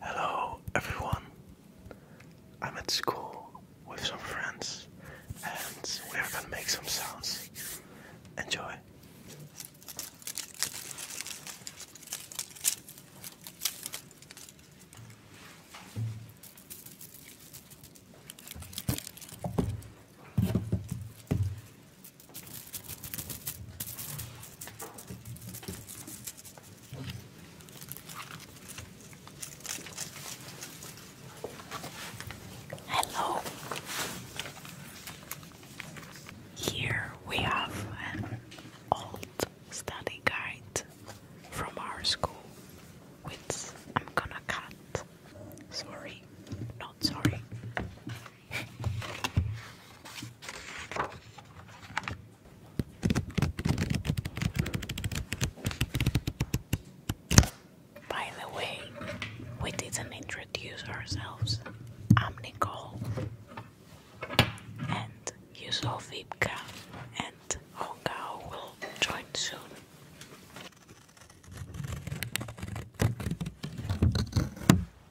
Hello everyone. I'm at school with some friends and we're gonna make some sounds. Enjoy. Hello. Here we have an old study guide from our school, which I'm gonna cut. Sorry, not sorry. By the way, we didn't introduce ourselves. I'm Nicole, and you saw Vipka, and Hongao will join soon.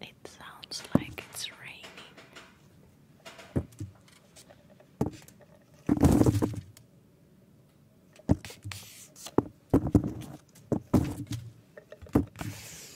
It sounds like it's raining.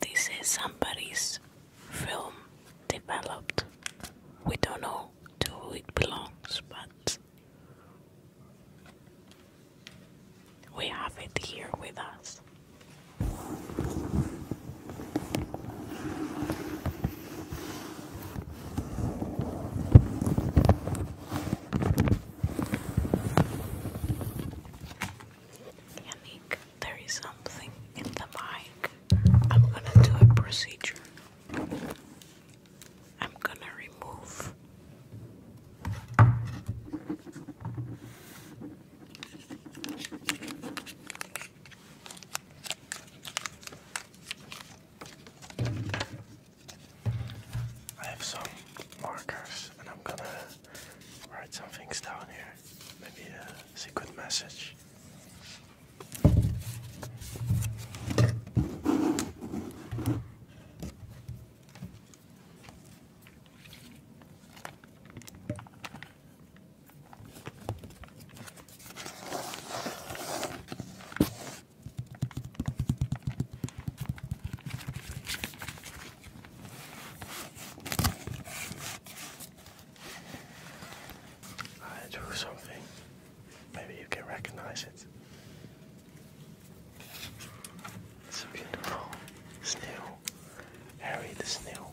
This is somebody's film developed. We don't know to who it belongs, but we have it here with us. Yannick, there is something in the mic. I'm gonna do a procedure. I'm going to remove I have some markers and I'm gonna write some things down here. Maybe a secret message. I do something Maybe you can recognize it. It's a beautiful snail, Harry snail.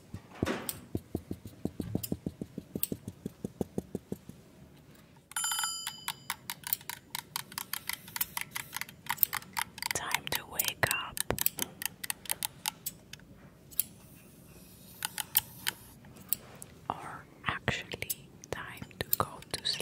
Time to wake up. Or actually, time to go to sleep.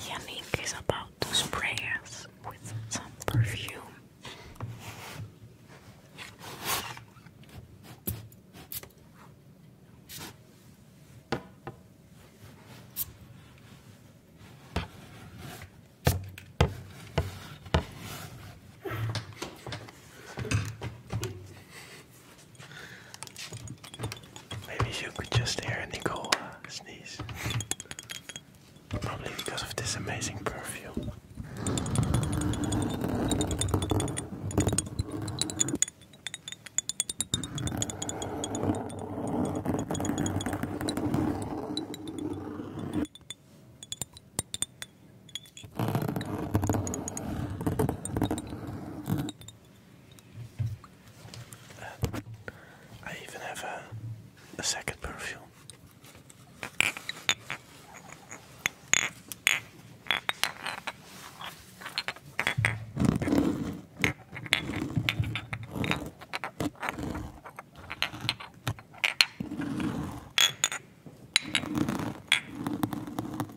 Yannick is about to spray us with some perfume. Maybe you could just hear Nicole uh, sneeze. Probably because of this amazing perfume. I even have a second perfume.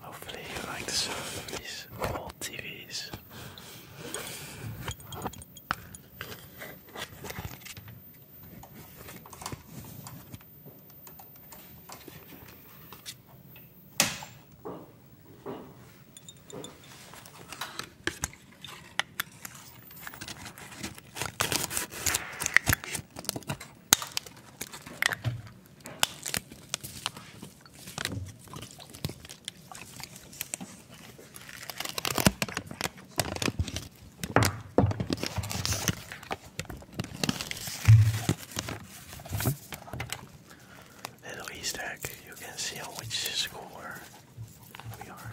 Hopefully you like the service. of old TVs. Little East you can see how much score we are.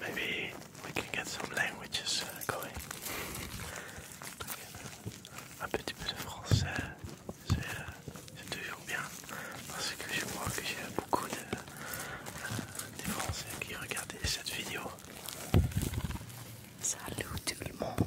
Maybe we can get some languages uh, going. Un petit peu de français, euh, c'est toujours bien parce que je vois que j'ai beaucoup de euh, Français qui regardent cette vidéo. Salut tout le monde.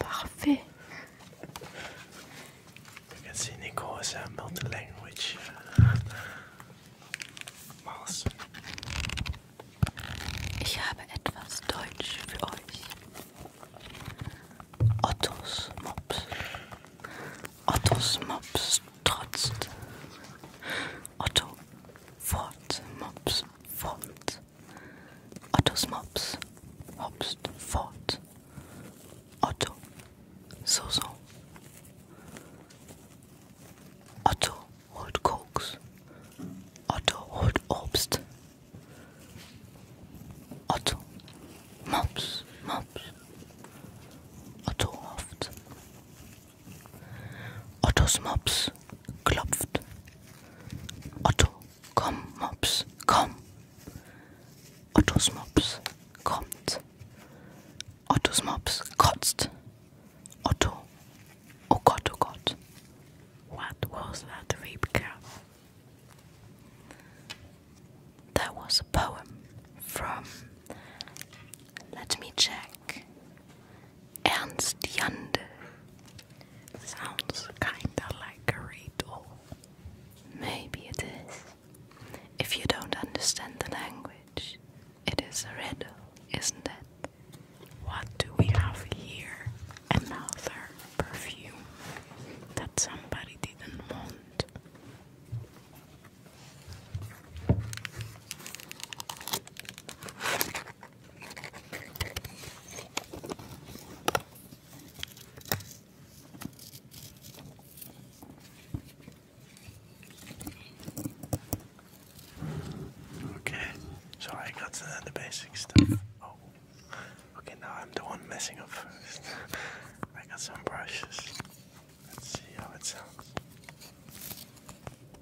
Parfait. You can see Nico is a uh, multi-language uh, mouse. Ich habe etwas Deutsch für euch. Ottos Mops. Ottos Mops trotzt. Otto fort, Mops fort. Ottos Mops hopst fort. Otto, so so. Otto holt Koks. Otto holt Obst. Otto, Mops, Mops. Otto hofft. Ottos Mops klopft, Otto, come, Mops, come. Ottos Mops kommt. Ottos Mops kotzt. Otto, oh Gott, oh Gott. What was that, Wiebke? That was a poem from. Let me check. Ernst Jandl. Sounds kinda like a riddle. Maybe it is. If you don't understand the language, it is a riddle, isn't it? What do we have here? Another perfume that somebody didn't want. Okay, so I got the basic stuff. Oh, okay, now I'm the one messing up first. I got some brushes. Let's see how it sounds.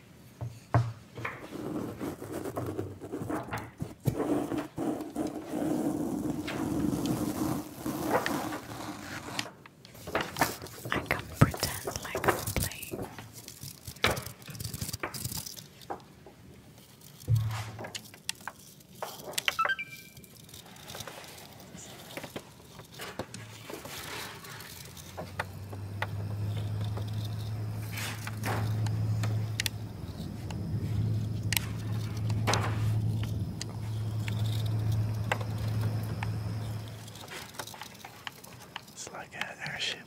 I can pretend like I'm playing. It's like an airship.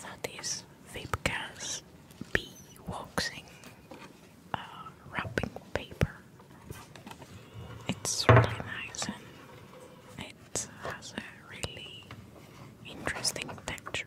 That is Vapcast B waxing um, wrapping paper. It's really nice and it has a really interesting texture.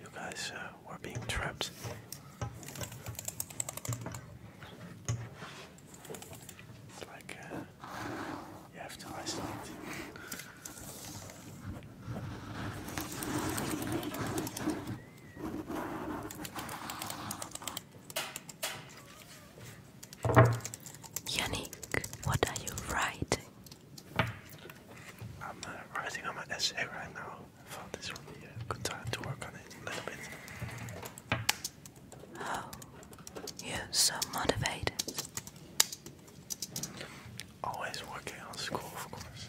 You guys uh, were being trapped. It's like uh, you have to isolate. Yannick, what are you writing? I'm writing uh, on my essay right now. I thought this would be a good time to work on it a little bit. Oh, you're so motivated. Always working on school, of course.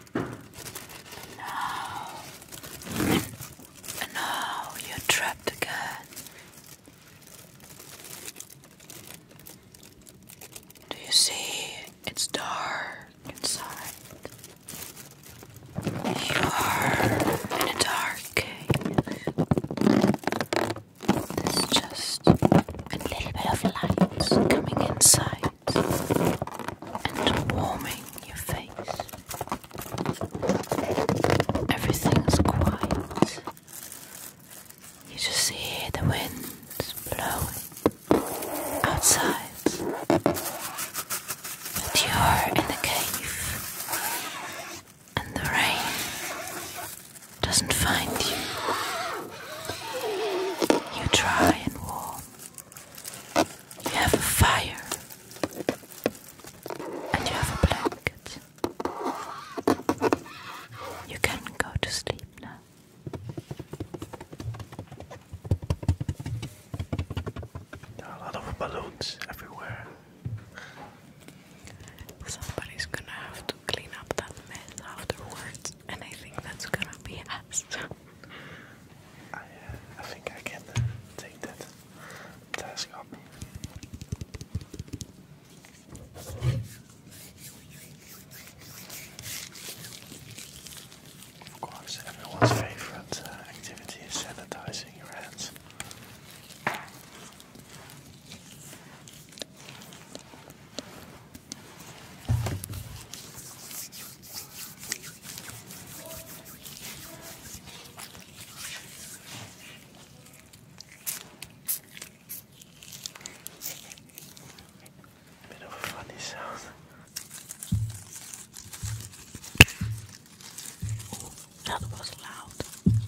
No. No, you're trapped again. Do you see? It's dark inside. You are in the dark cave. There's just a little bit of light coming inside and warming your face. Everything's quiet. You just hear the wind blowing outside. But you're in the cave, and the rain doesn't find you. You dry and warm. You have a fire and you have a blanket. You can go to sleep now. There are a lot of balloons everywhere. Somebody's gonna have to clean up that mess afterwards, and I think that's gonna be us. Uh, I, think I can uh, take that task on me. Of course, everyone's favorite uh, activity is sanitizing your hands. Bit of a funny sound. Oh, that was loud.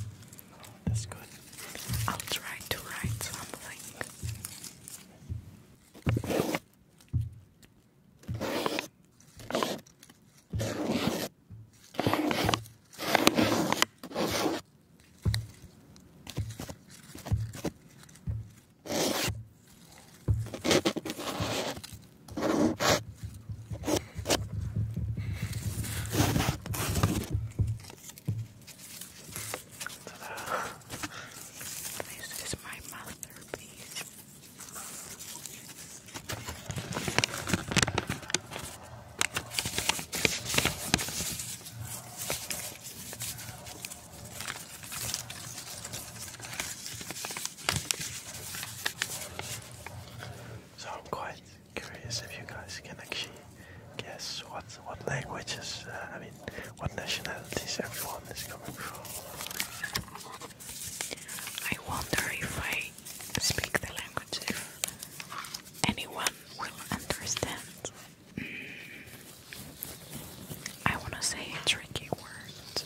that's good. I'll try to write something. This is my masterpiece. So I'm quite curious if you guys can actually guess what what languages, uh, I mean, what nationalities everyone is coming from. I wonder if I speak the language, if anyone will understand. Mm. I want to say tricky word.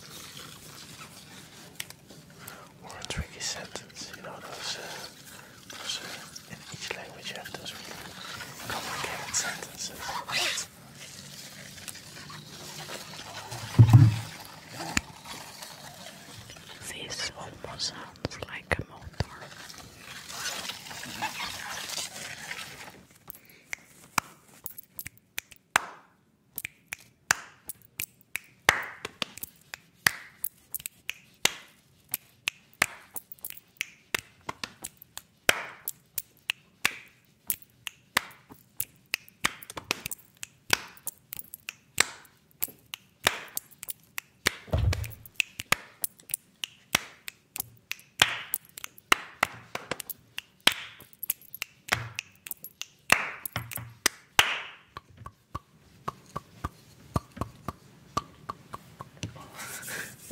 Or tricky sentence, you know, those, uh, those uh, in each language have those complicated sentences. This almost sounds like a motor.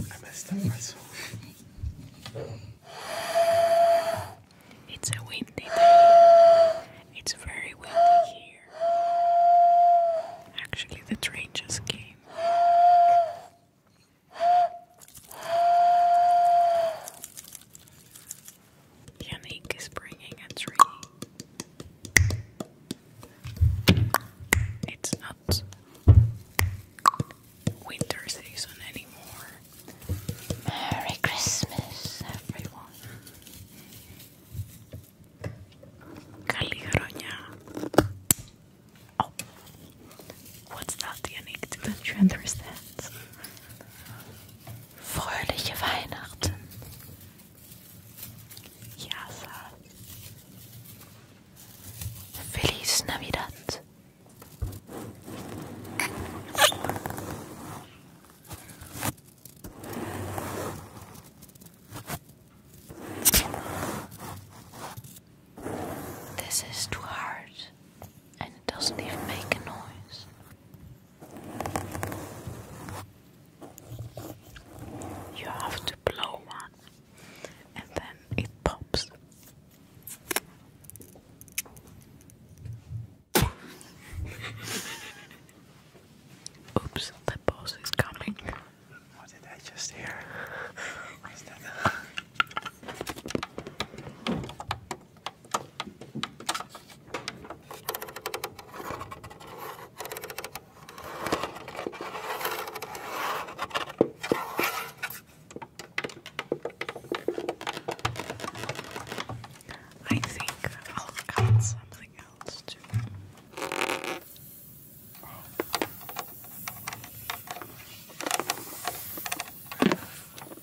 I messed up myself. It's a windy day. It's very windy here. Actually, the train just came. Yannick is bringing a tree. It's not winter season anymore. Merry Christmas, everyone. Καλή Oh, what's that, Yannick? Don't you understand? Fröhliche Weihnachten. Yes. Feliz Navidad. This is too hard and it doesn't even make a noise. You have to blow one and then it pops. Oops, that boss is coming. What did I just hear? What is that? I think I'll cut something else too.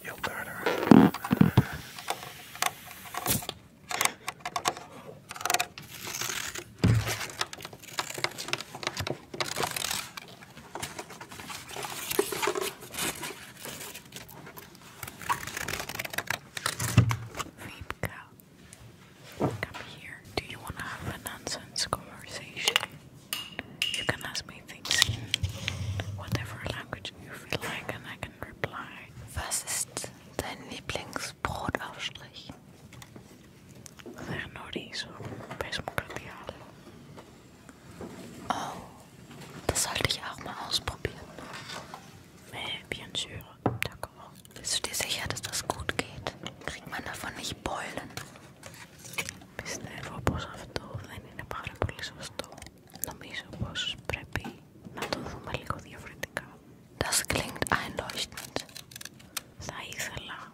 You better. Vipka, come here. Do you want to have a nonsense conversation? You can ask me things whatever language you feel like, and I can reply. Was ist dein Lieblingsbrotaufstrich? Δεν γνωρίζω. Πες μου κάτι Oh, das sollte ich auch mal ausprobieren. Mais bien sûr, d'accord. Bist du dir sicher, dass das gut geht? Kriegt man davon nicht Beulen? Πιστεύω πως αυτό δεν είναι πάρα πολύ σωστό. Νομίζω πως πρέπει να το δούμε λίγο διαφορετικά. Das klingt einleuchtend. Θα ήθελα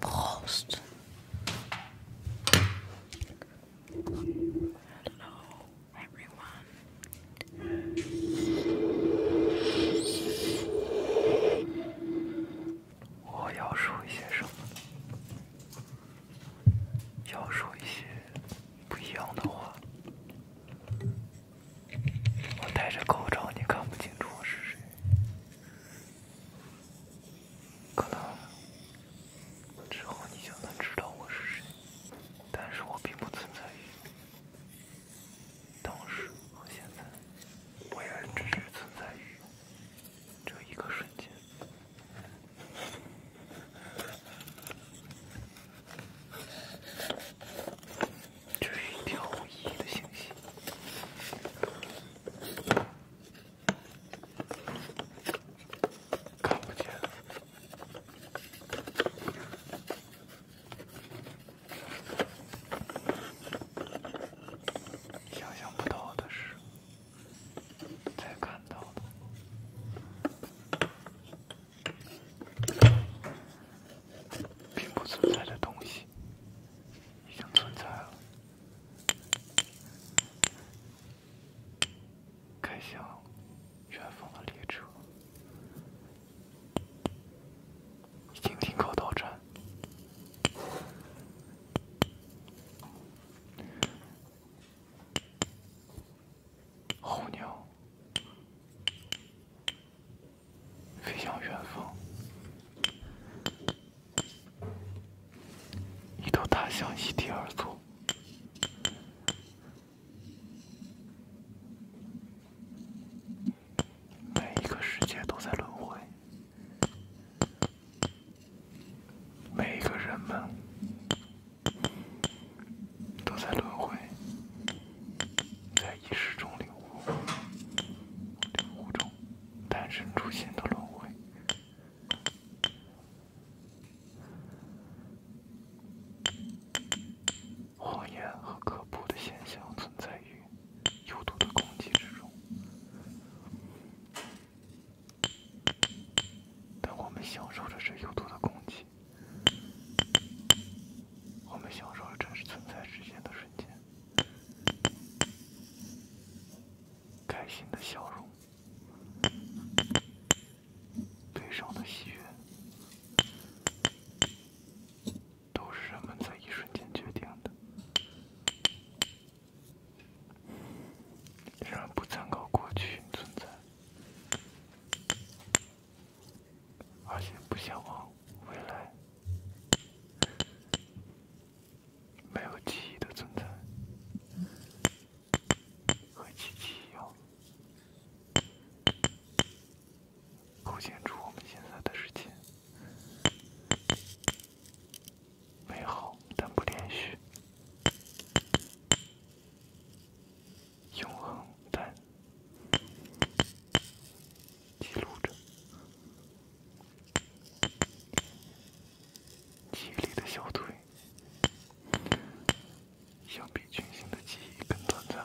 Prost. Hello, everyone. 我要说一些什么？呢？要说一些不一样的话。我戴着口罩，你看不清楚我是谁。可能之后你就能知道我是谁，但是我并不存在于当时和现在，我也只是存在于。这一个瞬间，追钓鱼的信息看不见了。想象不到的是，在看到的并不存在的东西，已经存在了。开向远方的列车已经停靠到站。候鸟飞向远方，一头大象异地而坐。每一个世界都在轮回，每一个人们都在轮回，在意识中领悟、领悟中诞生出现的轮回，谎言和可怖的现象存在于。有毒的空气之中，但我们享受着这有毒的空气。我们享受着真实存在之间的瞬间，开心的笑容，悲伤的喜悦。都是人们在一瞬间决定的，仍然不参考过去存在，而且不向往未来，没有记忆的存在，和机器一样。构建出我们现在的世界，美好但不连续，永恒但记录着忆里的小腿，相比群星的记忆更短暂。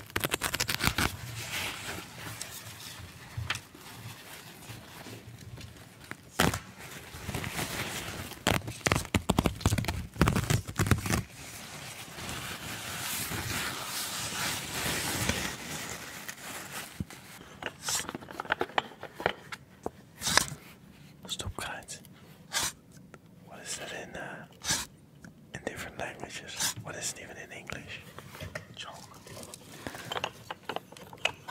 Stop, guys. What is that in there? in different languages. What is it even in English?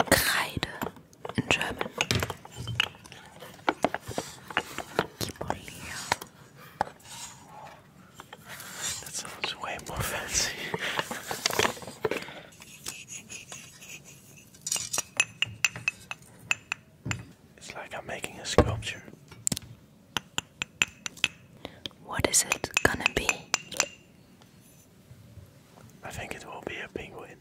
Kreide in German. Kibolia. That sounds way more fancy. it's like I'm making a sculpture. What is it gonna be? I think it will be a penguin.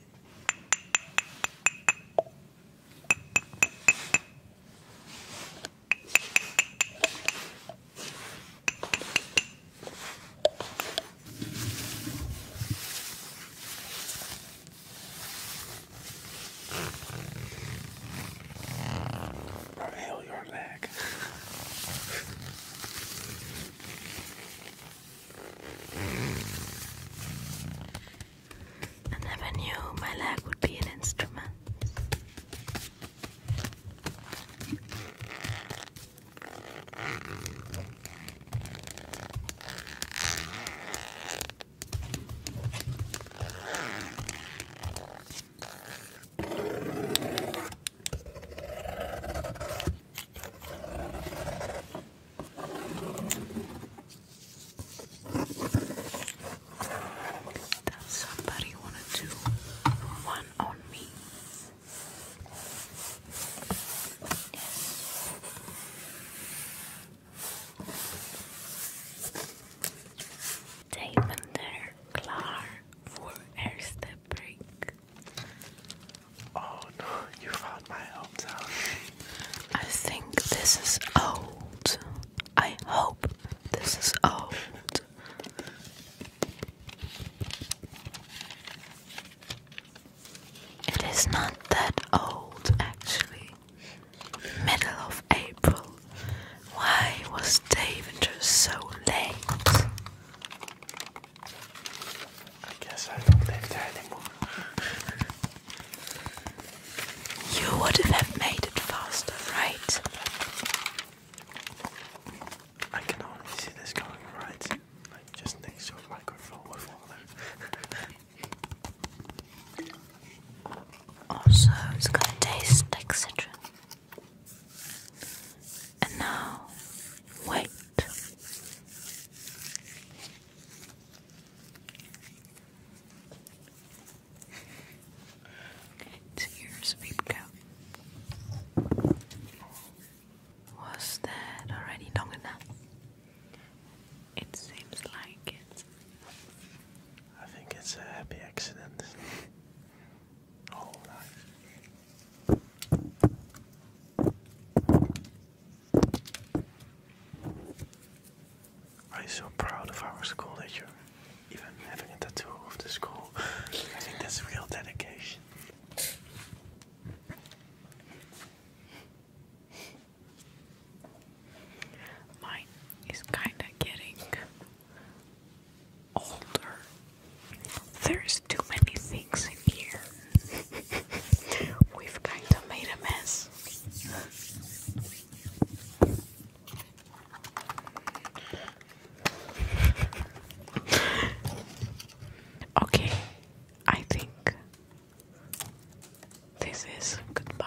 Or your lag. I never knew my leg would be an instrument. Does somebody want to one on me? Davender klar oh, I think this is old. I hope this is old. It is not that old actually. Middle of April. Why was Daventer so late? I guess I don't live there anymore. You would have made it faster, right? I can only see this going right, just next to microphone with water. Also, it's gonna taste like citron. And now, wait. It's here's beep go. Was that already long enough? It seems like it. I think it's a happy accident. All life. Are you so proud of our school that you're even having a tattoo of the school? I think that's real dedication. Mine is kinda getting older. There's too many things in here. We've kinda made a mess. okay, I think this is goodbye.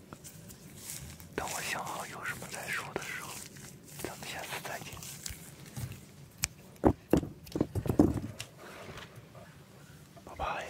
等我想好有什么再说的时候，咱们下次再见，拜拜。